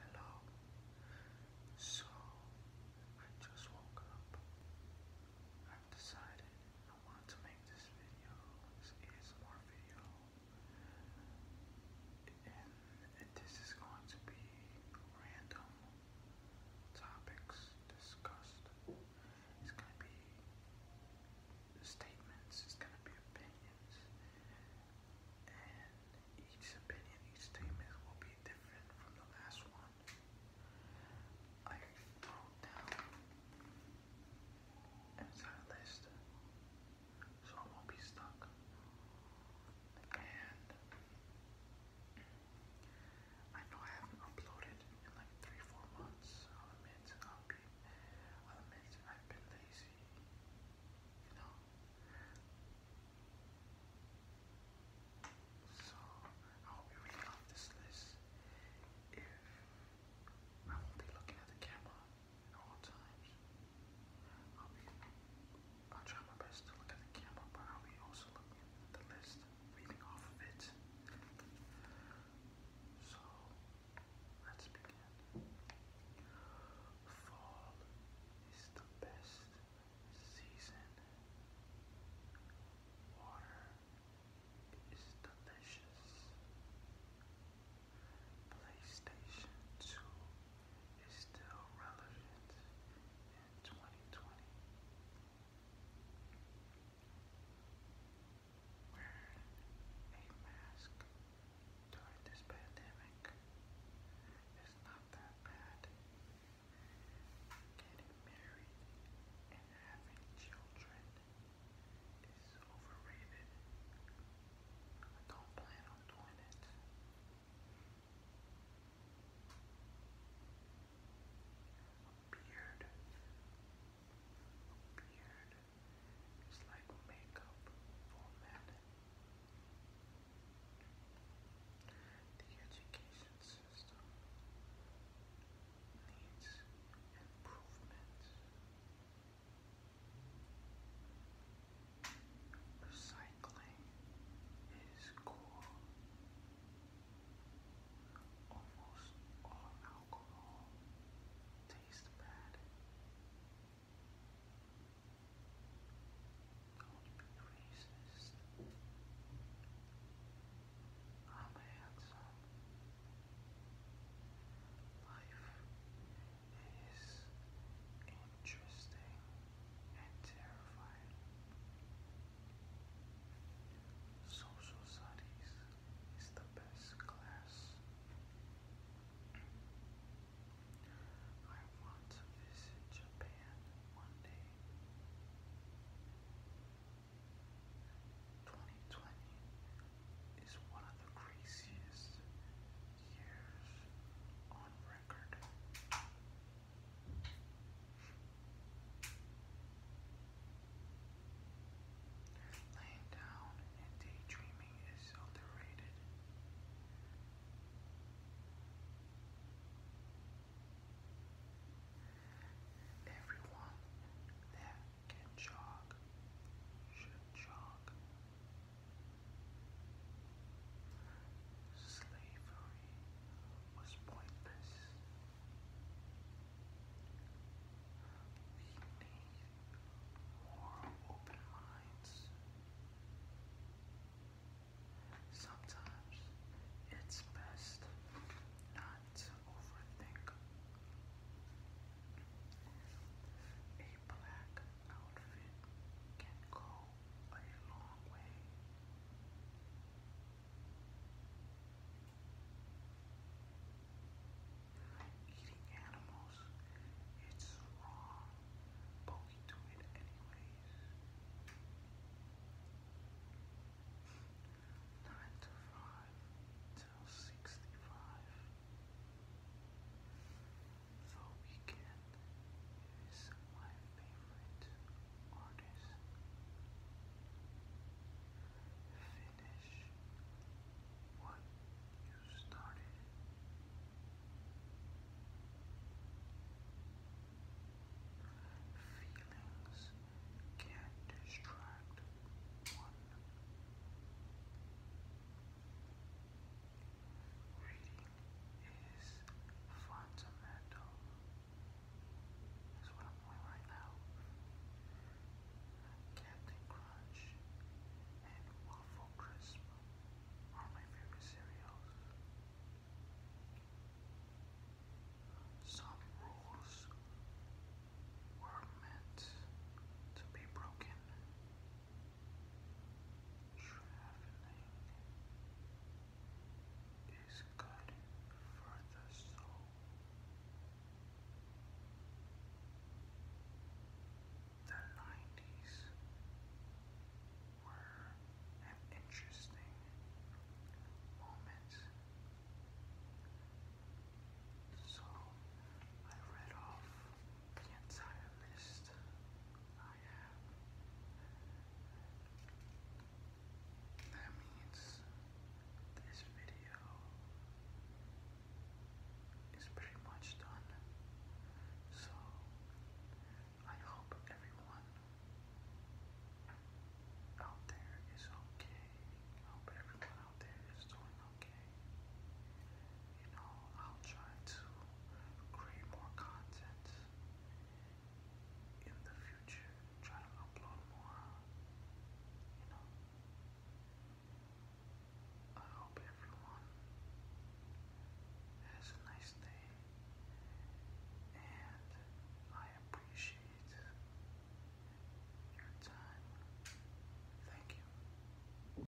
Hello. So, I just woke up. I've decided I want to make this video, this ASMR video. And this is going to be random topics discussed. It's going to be statements, it's going to be opinions each opinion, each statement will be different from the last one. I wrote down inside a list so I won't be stuck. And I know I haven't uploaded in like three, four months. I'll admit, um, be. admit I've been lazy, you know. So I hope you really love this list. If I won't be looking at the camera at all times, I'll try my best to look at the camera, but I'll be also looking at the list, reading off of it. So let's begin. Fall is the best season. Water is delicious. PlayStation 2 is still relevant in 2020 wearing a mask during this pandemic is not that bad. Getting married and having children is overrated. I don't plan on doing it. beard a like makeup The education system needs improvement. Recycling is cool. Almost all alcohol taste bad. Don't be racist. I'm handsome. Life is interesting and terrifying. Social studies is the best class. I want to visit Japan one day. 2020 is one of the craziest years on record. Laying down and daydreaming is underrated. Everyone that can jog should jog. Slavery was pointless. We need more open minds. Sometimes it's best not to overthink. A black outfit can go a long way. Eating animals, it's wrong, but we do it anyways. Nine to five till sixty-five. The weekend is my favorite artist. Finish what you started. Feelings can distract one. Reading is fundamental. That's what I'm doing right now. Captain Crunch and Waffle Crisp are my favorite cereals. Some rules were meant to be broken. Traveling is good for the soul. The nineties were an interesting moment. So I read off the entire list I have. That means this video is pretty much done. So I hope everyone out there is okay. I hope everyone out there is doing okay you know, I'll try to create more content in the future, try to upload more, you know. I hope everyone has a nice day, and I appreciate your time. Thank you.